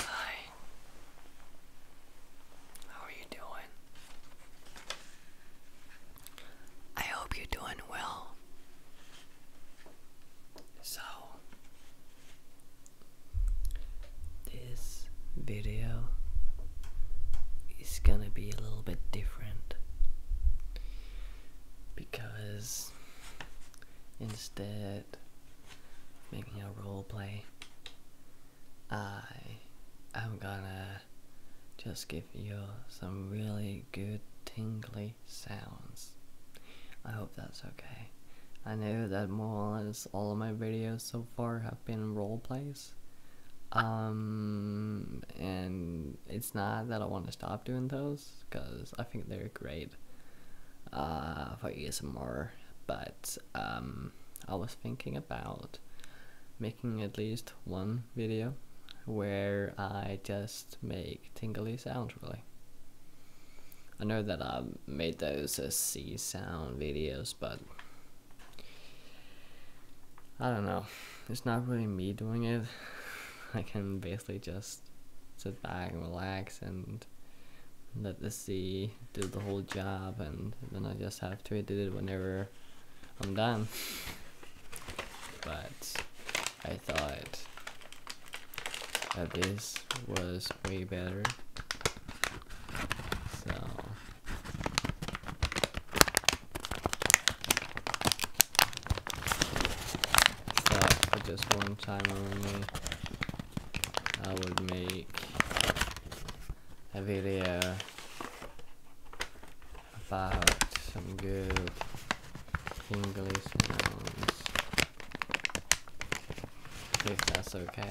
Hi. How are you doing? I hope you're doing well. So, this video is gonna be a little bit different because instead making a role play. I am gonna just give you some really good tingly sounds. I hope that's okay. I know that more or less all of my videos so far have been role plays. Um, and it's not that I want to stop doing those because I think they're great uh, for more, but um, I was thinking about making at least one video where I just make tingly sounds really. I know that i made those C sound videos, but I don't know. It's not really me doing it. I can basically just sit back and relax and let the sea do the whole job and then I just have to edit it whenever I'm done. But I thought that this was way better. So for just one time only I would make a video about some good English sounds if that's okay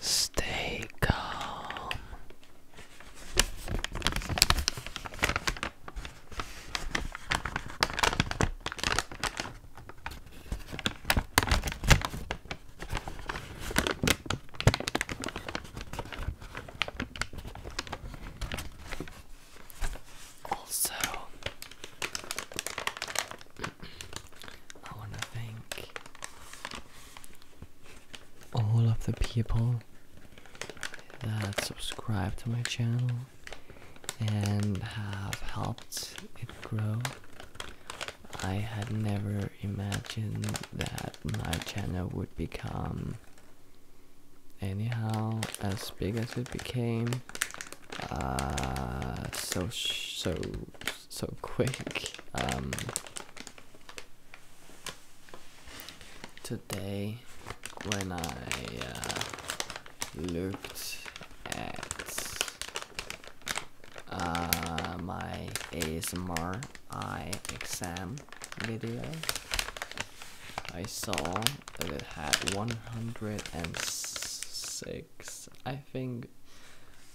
Stay calm. Also, I want to thank all of the people that subscribe to my channel and have helped it grow. I had never imagined that my channel would become anyhow as big as it became uh, so so so quick um, today when I uh, looked at uh, my ASMR eye exam video I saw that it had 106, I think,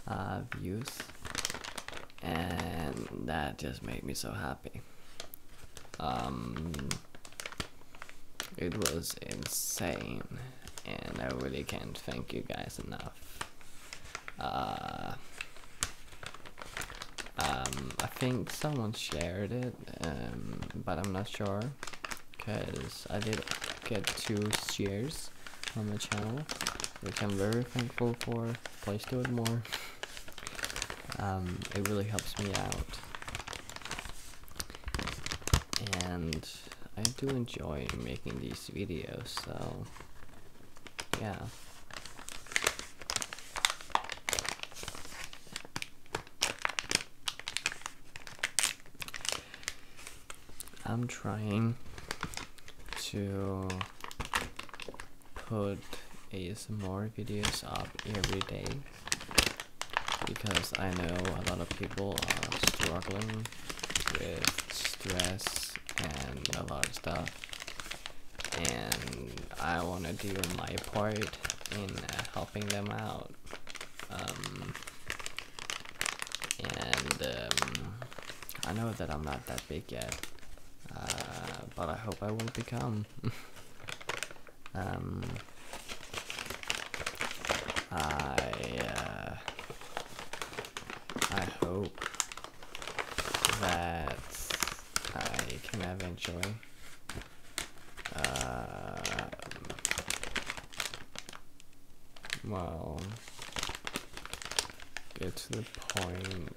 uh, views, and that just made me so happy. Um, it was insane, and I really can't thank you guys enough. Uh, um, I think someone shared it um, but I'm not sure because I did get two shares on my channel, which I'm very thankful for. Please do it more. Um, it really helps me out. And I do enjoy making these videos, so yeah. I'm trying to put more videos up every day because I know a lot of people are struggling with stress and a lot of stuff and I want to do my part in helping them out. Um, and um, I know that I'm not that big yet, uh, but I hope I will become. Um, I uh, I hope that I can eventually thing. Uh, well, get to the point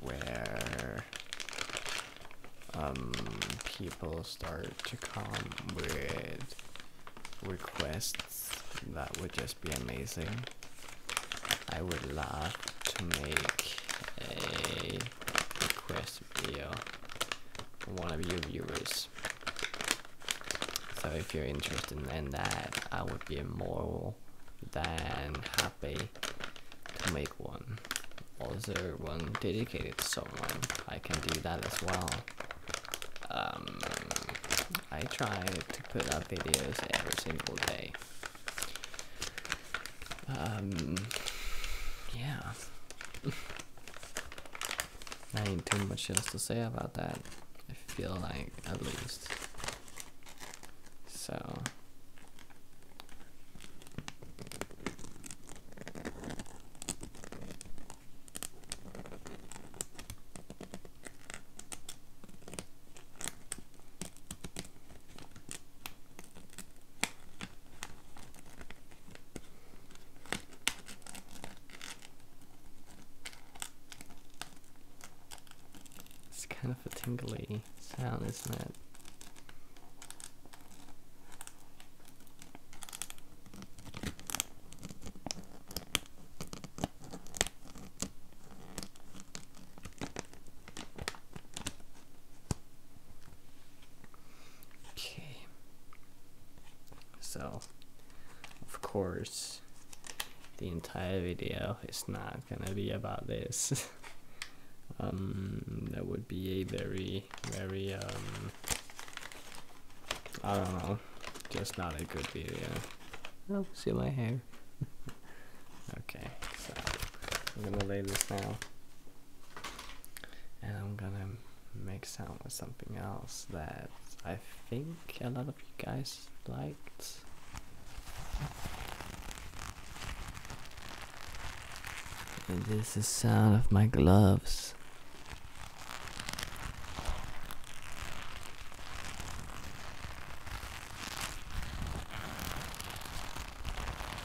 where um, people start to come with requests that would just be amazing. I would love to make a request video from one of your viewers. So if you're interested in that, I would be more than happy to make one. Also, one dedicated to someone, I can do that as well. Um, I try to put up videos every single day. Um, yeah. I ain't too much else to say about that. I feel like, at least. So. It's kind of a tingly sound, isn't it? Okay. So, of course, the entire video is not gonna be about this. um, that would be a very, very, um, I don't know, just not a good video. Oh, see my hair. Okay, so I'm gonna lay this down and I'm gonna make sound with something else that I think a lot of you guys liked. this is the sound of my gloves.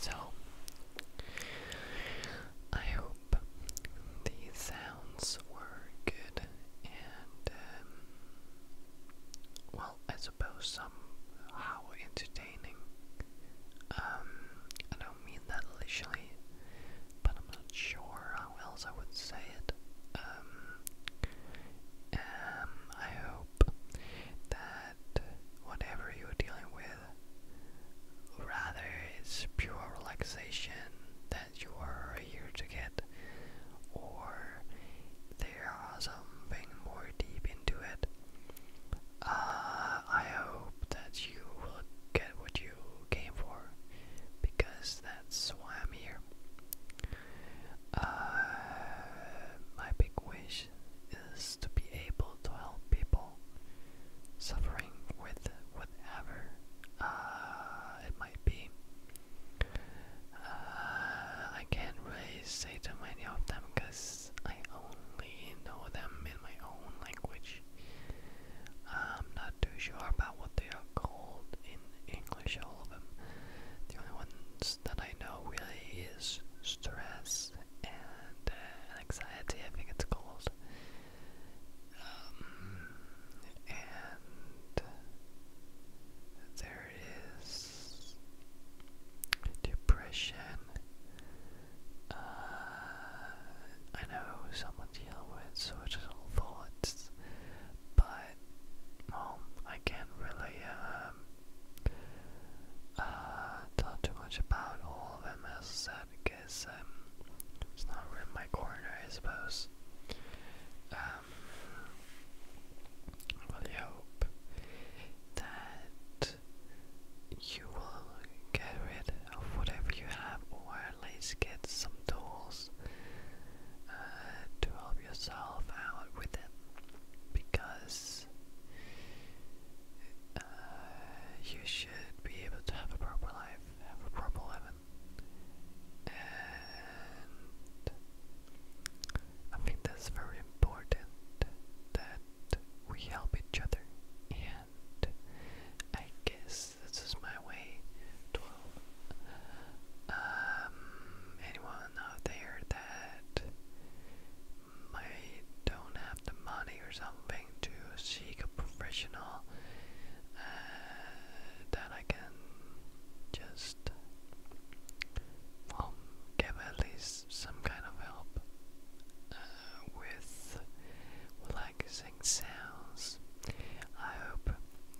So, I hope these sounds were good and, um, well, I suppose somehow entertaining. Um, I don't mean that literally, but I'm not sure how else I would say it. Um, um, I hope that whatever you're dealing with, rather it's pure relaxation that you are here to get, or there something more deep into it. Uh, I hope that you will get what came for, because that's why I'm here. Uh, my big wish is to be able to help people suffering with whatever uh, it might be. Uh, I can't really say too many of them because I only know them in my own language. I'm not too sure about what they are called in English, all of them. The only ones that I know really is stress and uh, anxiety, I think it's called. Um, and there is depression. Uh, I know someone's dealing with suicidal thoughts, but well, I can't really um, uh, talk too much about all of them as I said because um, it's not really my corner, I suppose. Um, I really hope that you will get rid of whatever you have, or at least get some tools uh, to help yourself out with it. Because uh, you should be able to have a proper life, have a proper living. And I think that's very important that we help each other. And I guess this is my way. Um, anyone out there that might don't have the money or something to seek a professional uh, that I can just well, give at least some kind of help uh, with like relaxing sounds. I hope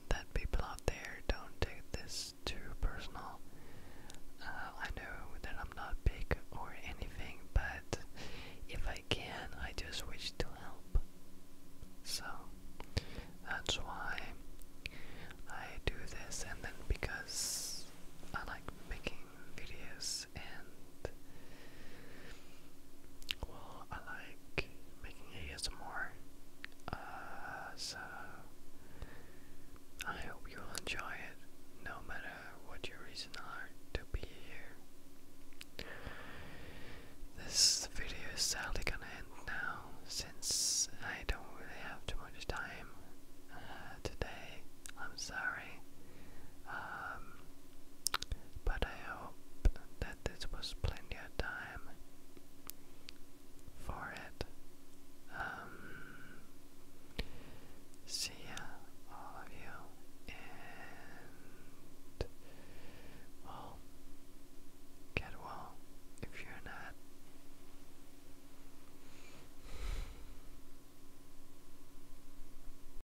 that people out there don't take this too personal. Uh, I know that I'm not big or anything, but if I can, I just wish to help. So that's why I do this, and then because I like making videos well I like making ASMR uh so I hope you will enjoy it no matter what your reasons are to be here. This video is sadly gonna end now since I don't really have too much time uh, today. I'm sorry sorry. Um, but I hope that this was plenty of time for it. Um, see ya, all of you, and well, get well if you're not.